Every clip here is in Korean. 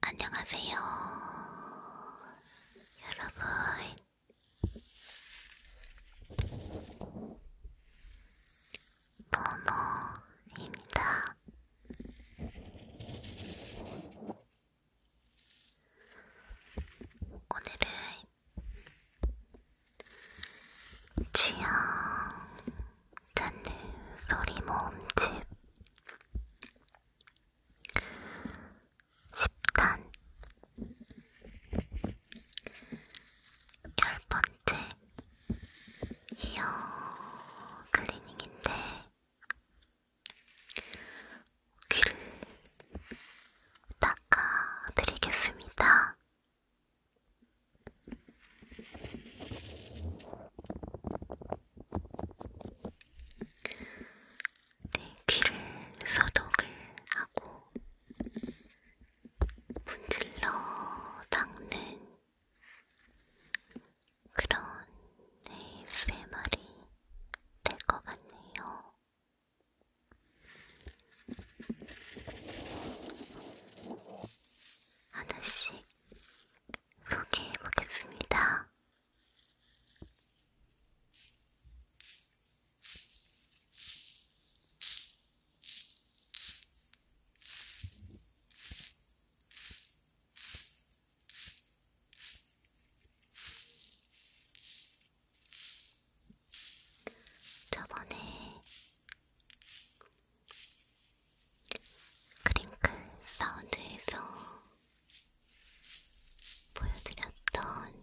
안녕하세요. 여러분, 모모입니다. 오늘은 취향 찾는 소리 모음집 10탄 열 번째 이어 클리닝인데 귀를 닦아드리겠습니다. 네, 귀를 소독을 하고 문질러 닦는 그런 ASMR이 될 것 같네요. 하나씩 소개해 보겠습니다. 저번에 크링클 사운드에서 보여드렸던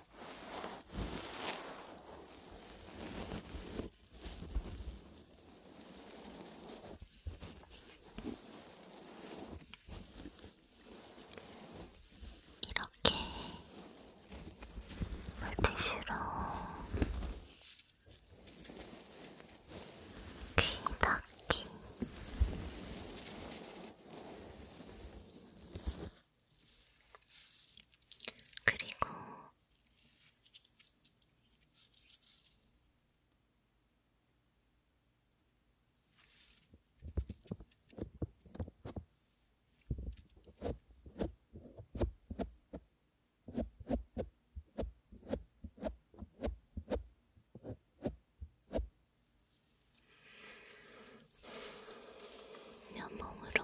이렇게 물티슈로 귀 닦기 그리고 면봉으로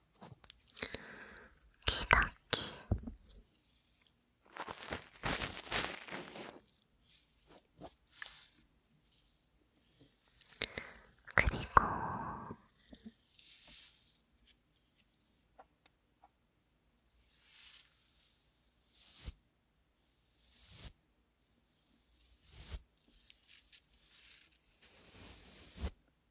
기덕기 그리고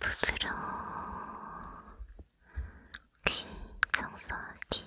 부스러워 귀 청소하기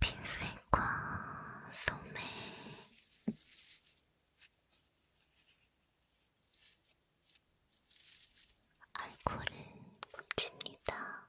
핀셋과 소매 알코올을 묻힙니다.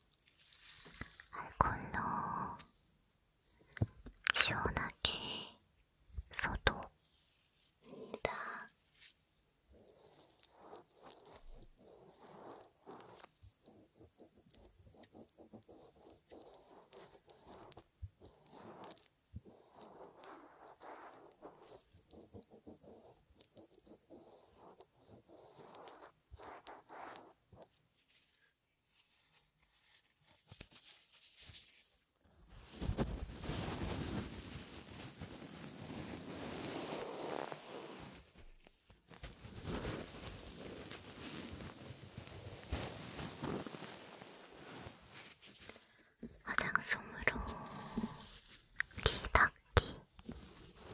알콜로 시원하게 소독입니다. 화장솜으로 귀 닦기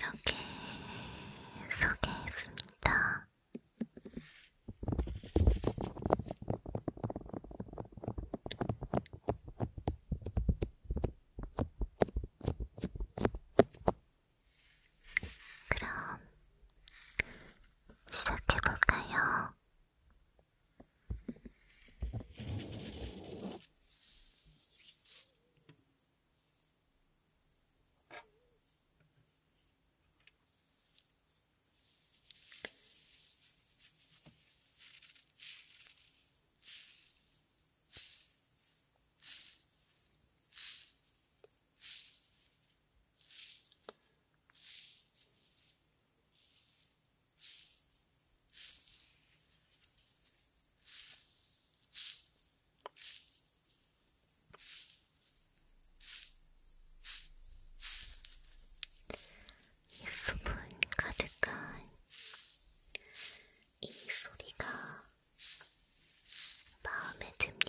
이렇게 소개했습니다. 그럼 시작해볼까요? 이 수분 가득한 이 소리가 마음에 듭니다.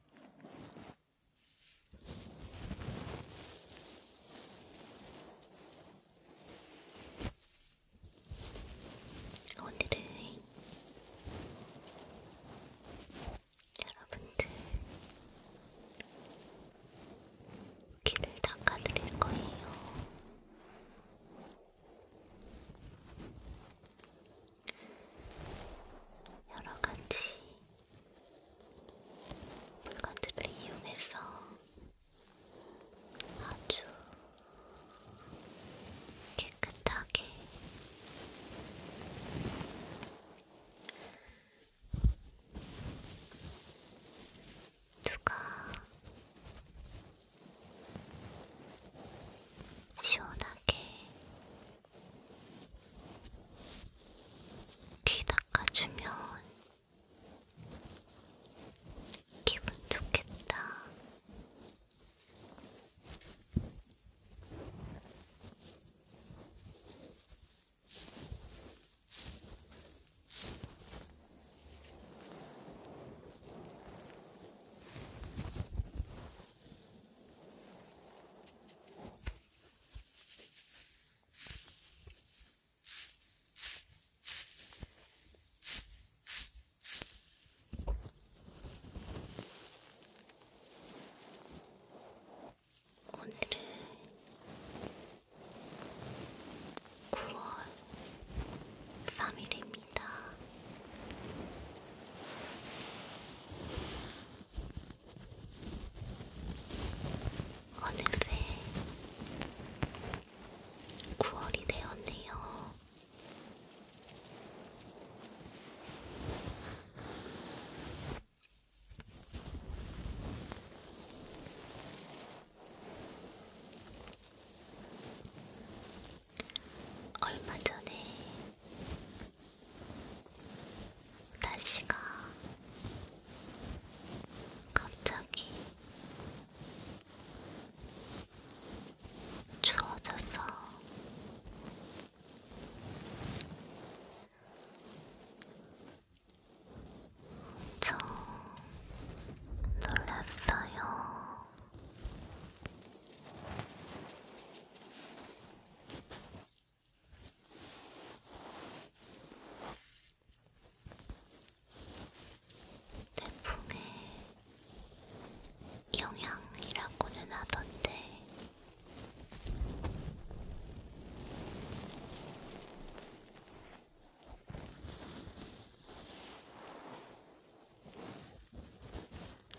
오늘은 여러분들 귀를 닦아드릴 거예요. 여러 가지 물건들을 이용해서 아주 깨끗하게 누가 시원하게 귀 닦아주면 기분 좋겠다. 오늘은 9월 3일입니다. 어느새 9월이 되었네요. 얼마 전에 날씨가 갑자기 추워져서 엄청 놀랐어요. 태풍의 영향이라고는 하던데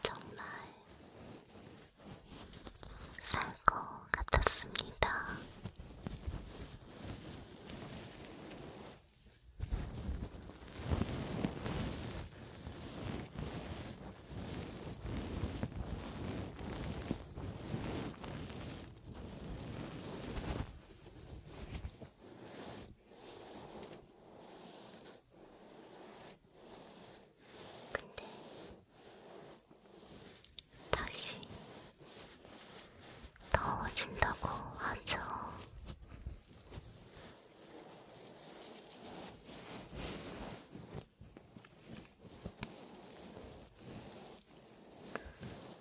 정말 살 것 같았습니다. 근데 다시 더워진다고 하죠.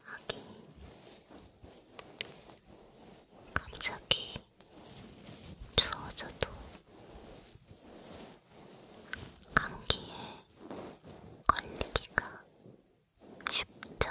하긴 갑자기 추워져도 감기에 걸리기가 쉽죠.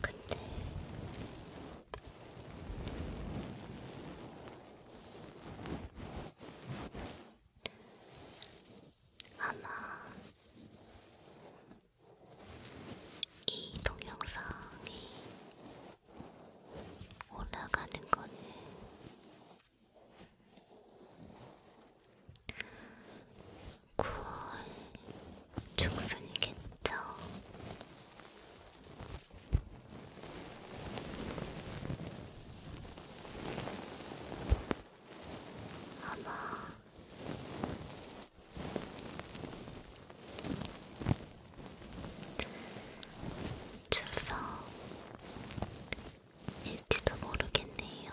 근데 아마 이 동영상이 올라가는 거는 9월 중순이겠죠. 아마 추석일지도 모르겠네요.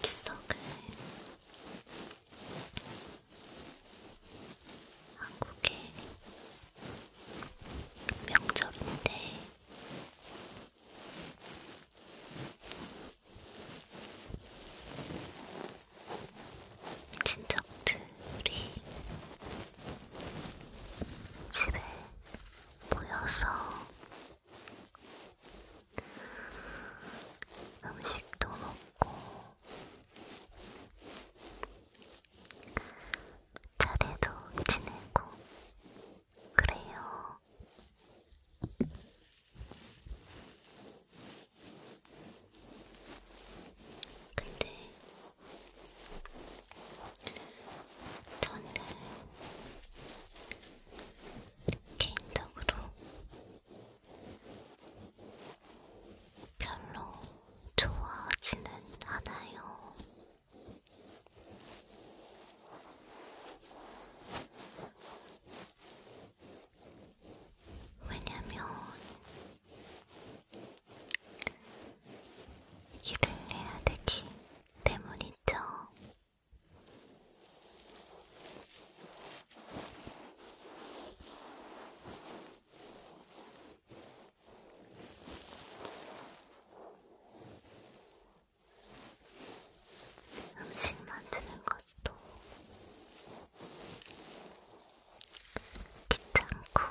캔석은 한국의 명절인데 친척들이 집에 모여서 음식도 먹고 차례도 지내고 그래요. 근데 저는 개인적으로 별로 좋아하지는 않아요. 왜냐면 일을 해야 되기 때문이죠. 음식 만드는 것도 귀찮고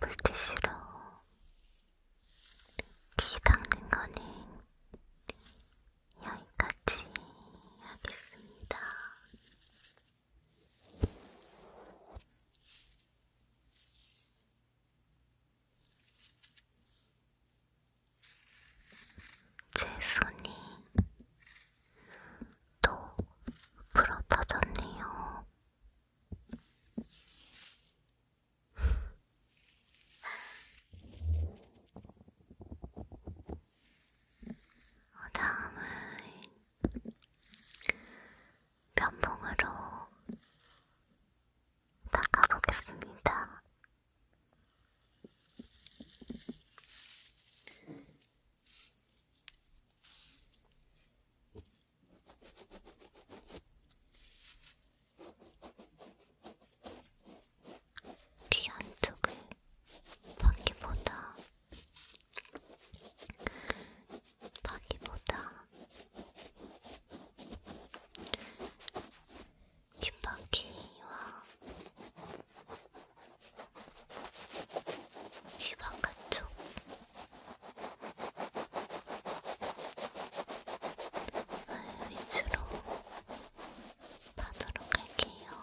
물티슈로 티 닦는 거는 여기까지 하겠습니다. 제 손이 또 부러터졌네요. 어, 다음은 면봉으로 닦아보겠습니다. 귀 안쪽을 바퀴보다 바퀴보다 뒷바퀴와 뒤바깥쪽 네, 위주로 파도록 할게요.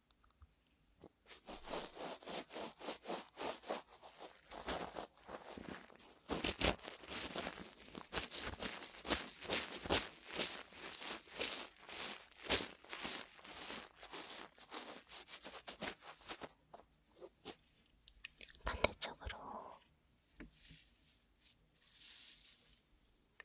반대쪽으로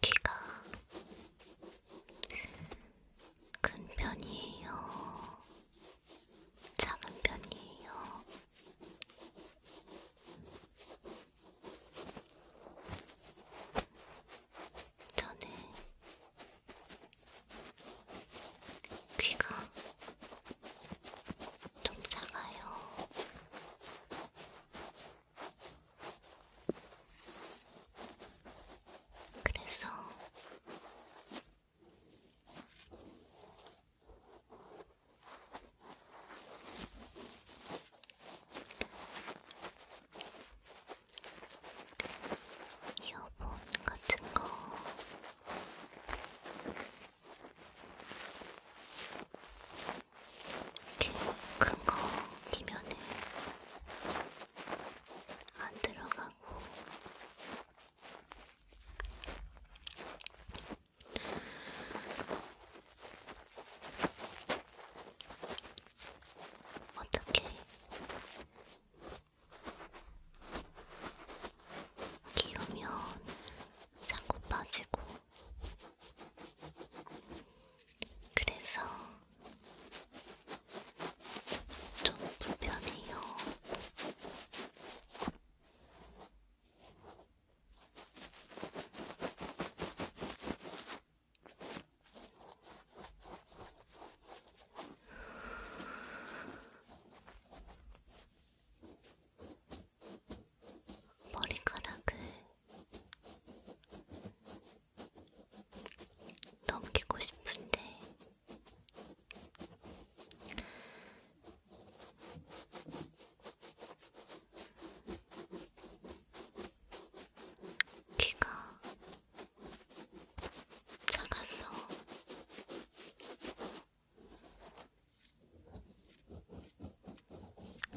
키가 큰 편이에요? 작은 편이에요? 저는 귀가 좀 작아요. 그래서 이어폰 같은 거 큰거 끼면은 안 들어가고 어떻게 끼우면 자꾸 빠지고 그래서 좀 불편해요. 머리카락을 넘기고 싶은데 귀가 작아서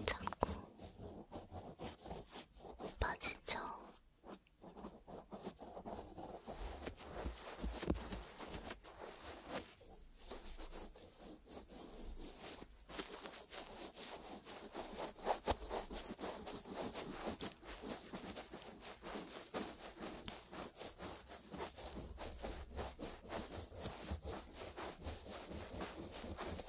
자꾸 빠지죠.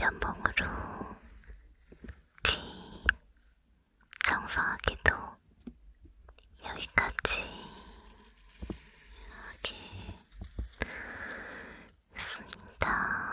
연봉으로 티 청소하기도 여기까지 하겠습니다.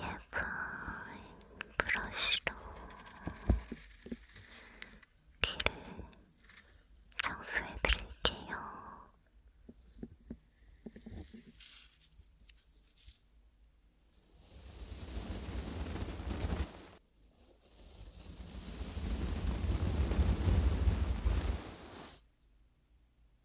약간 브러쉬로 귀를 청소해 드릴게요.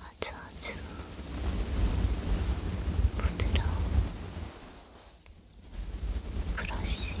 아주 아주 부드러운 브러쉬예요.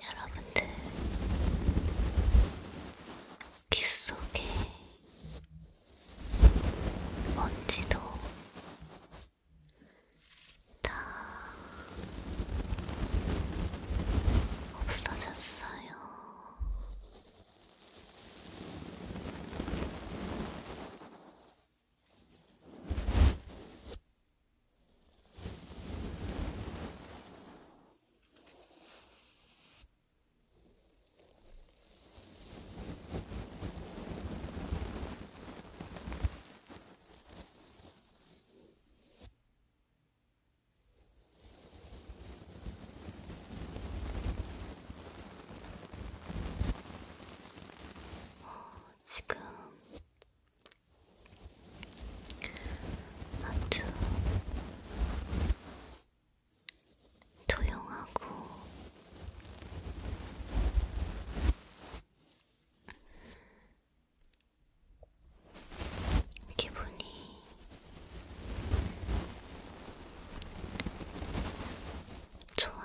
여러분들 귀 속에 먼지도 다 없어졌어요. 어, 지금 아주 조용하고 기분이 좋아요.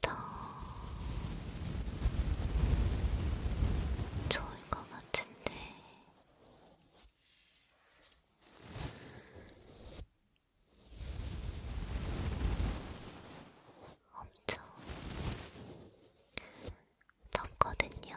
더 좋을 것 같은데. 엄청 떴거든요.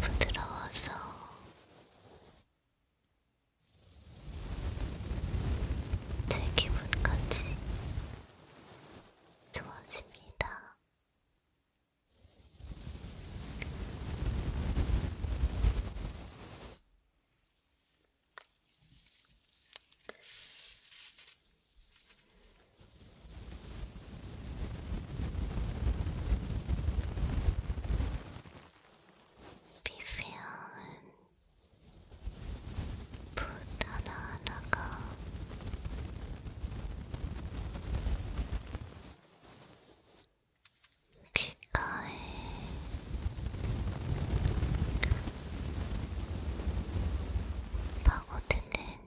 부드러워서 제 기분까지 좋아집니다. 미세한 붓 하나하나가 귓가에 파고드는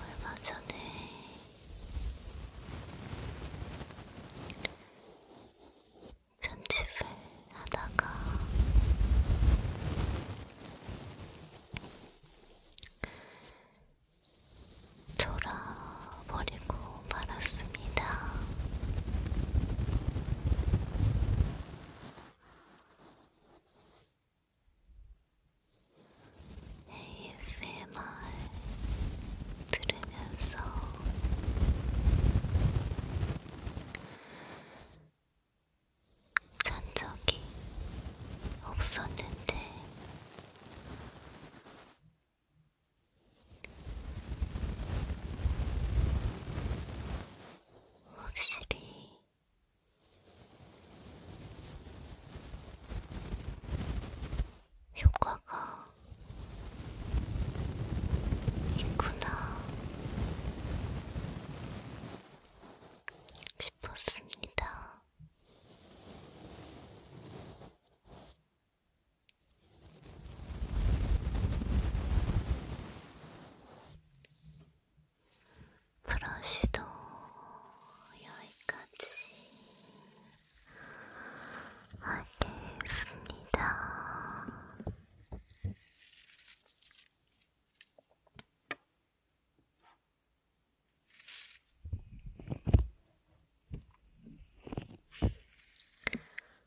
얼마 전에 편집을 하다가 졸아버리고 말았어요. 감사합니다. ASMR 들으면서 잔 적이 없었는데 확실히 효과가 있구나 싶었습니다. 브러쉬도 여기까지 하겠습니다.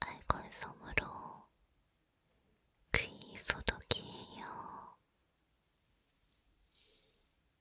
알콜 솜으로 귀 소독이에요.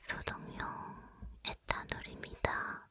소독용 에탄올입니다.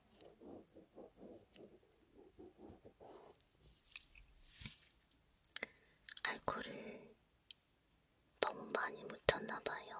알코올을 너무 많이 묻혔나봐요.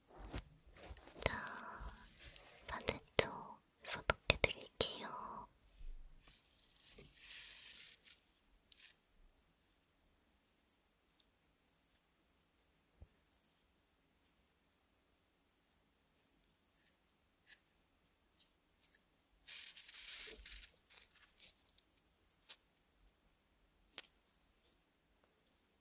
자, 반대쪽 소독해 드릴게요.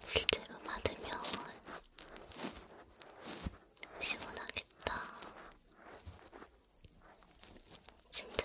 실제로 받으면 시원하겠다. 진짜로.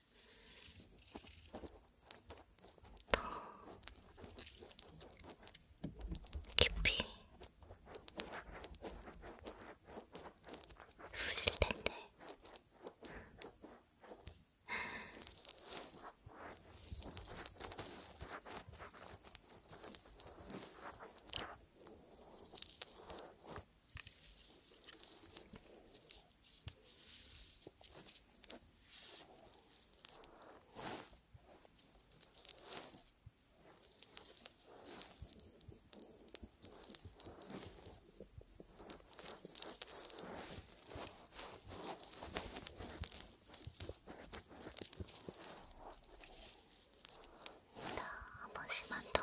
더 깊이 쑤실 텐데. 한 번씩만 더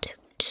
쭉쭉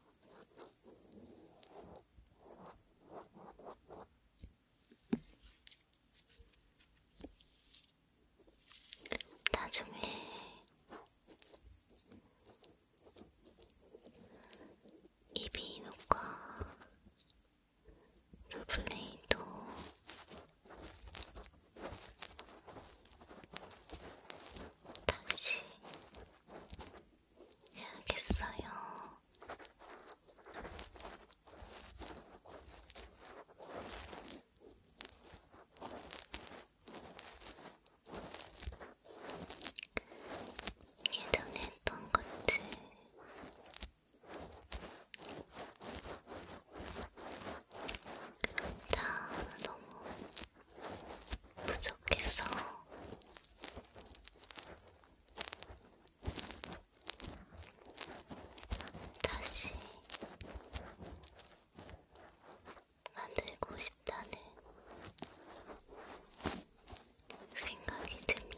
나중에 이비인후과 롤플레이도 다시 해야겠어요. 예전에 했던 것들 다 너무 부족해서 다시 만들고 싶다는 생각이 듭니다.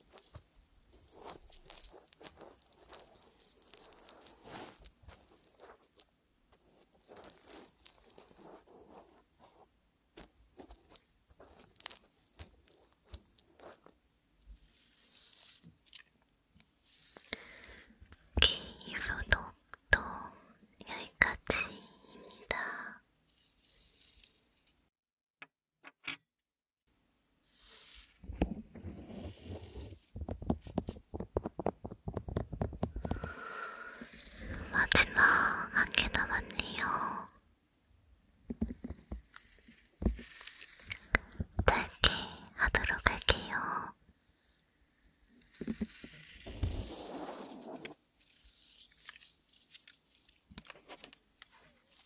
오케이, 소독도 여기까지입니다. 마지막 한 개 남았네요. 짧게 하도록 할게요.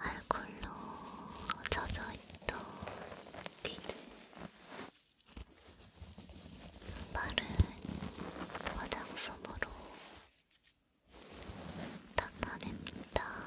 알콜로 젖어있던 귀를 바른 화장솜으로 닦아냅니다.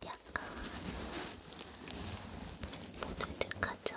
약간 보들득하죠?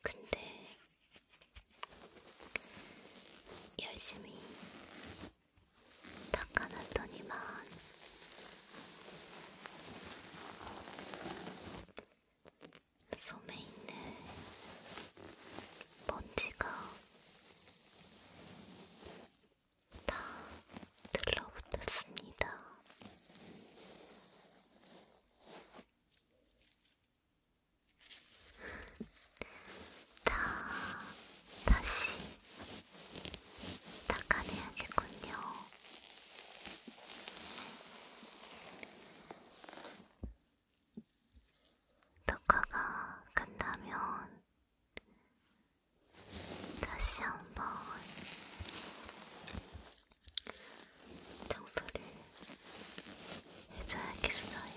근데 열심히 닦아놨더니만 솜에 있는 먼지가 다 들러붙었습니다. 다 다시 닦아내야겠군요. 녹화가 끝나면 다시 한번 청소를 해줘야겠어요.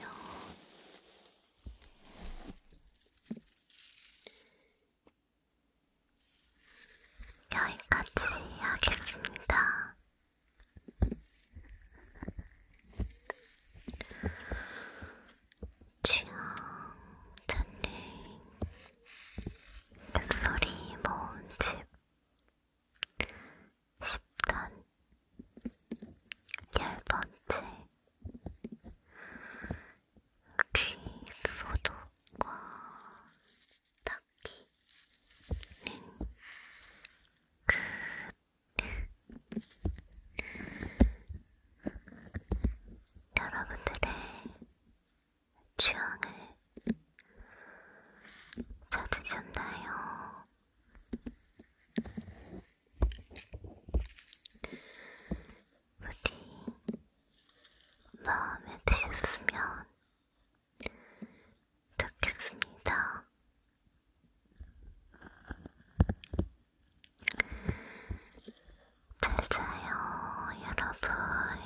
여기까지 하겠습니다. 취향 잔네 목소리 모음집 10단 열번째 귀 소독과 닦기는 끝 그 여러분들의 취향을 찾으셨나요? 부디 마음에 드셨으면 좋겠습니다. 잘 자요, 여러분.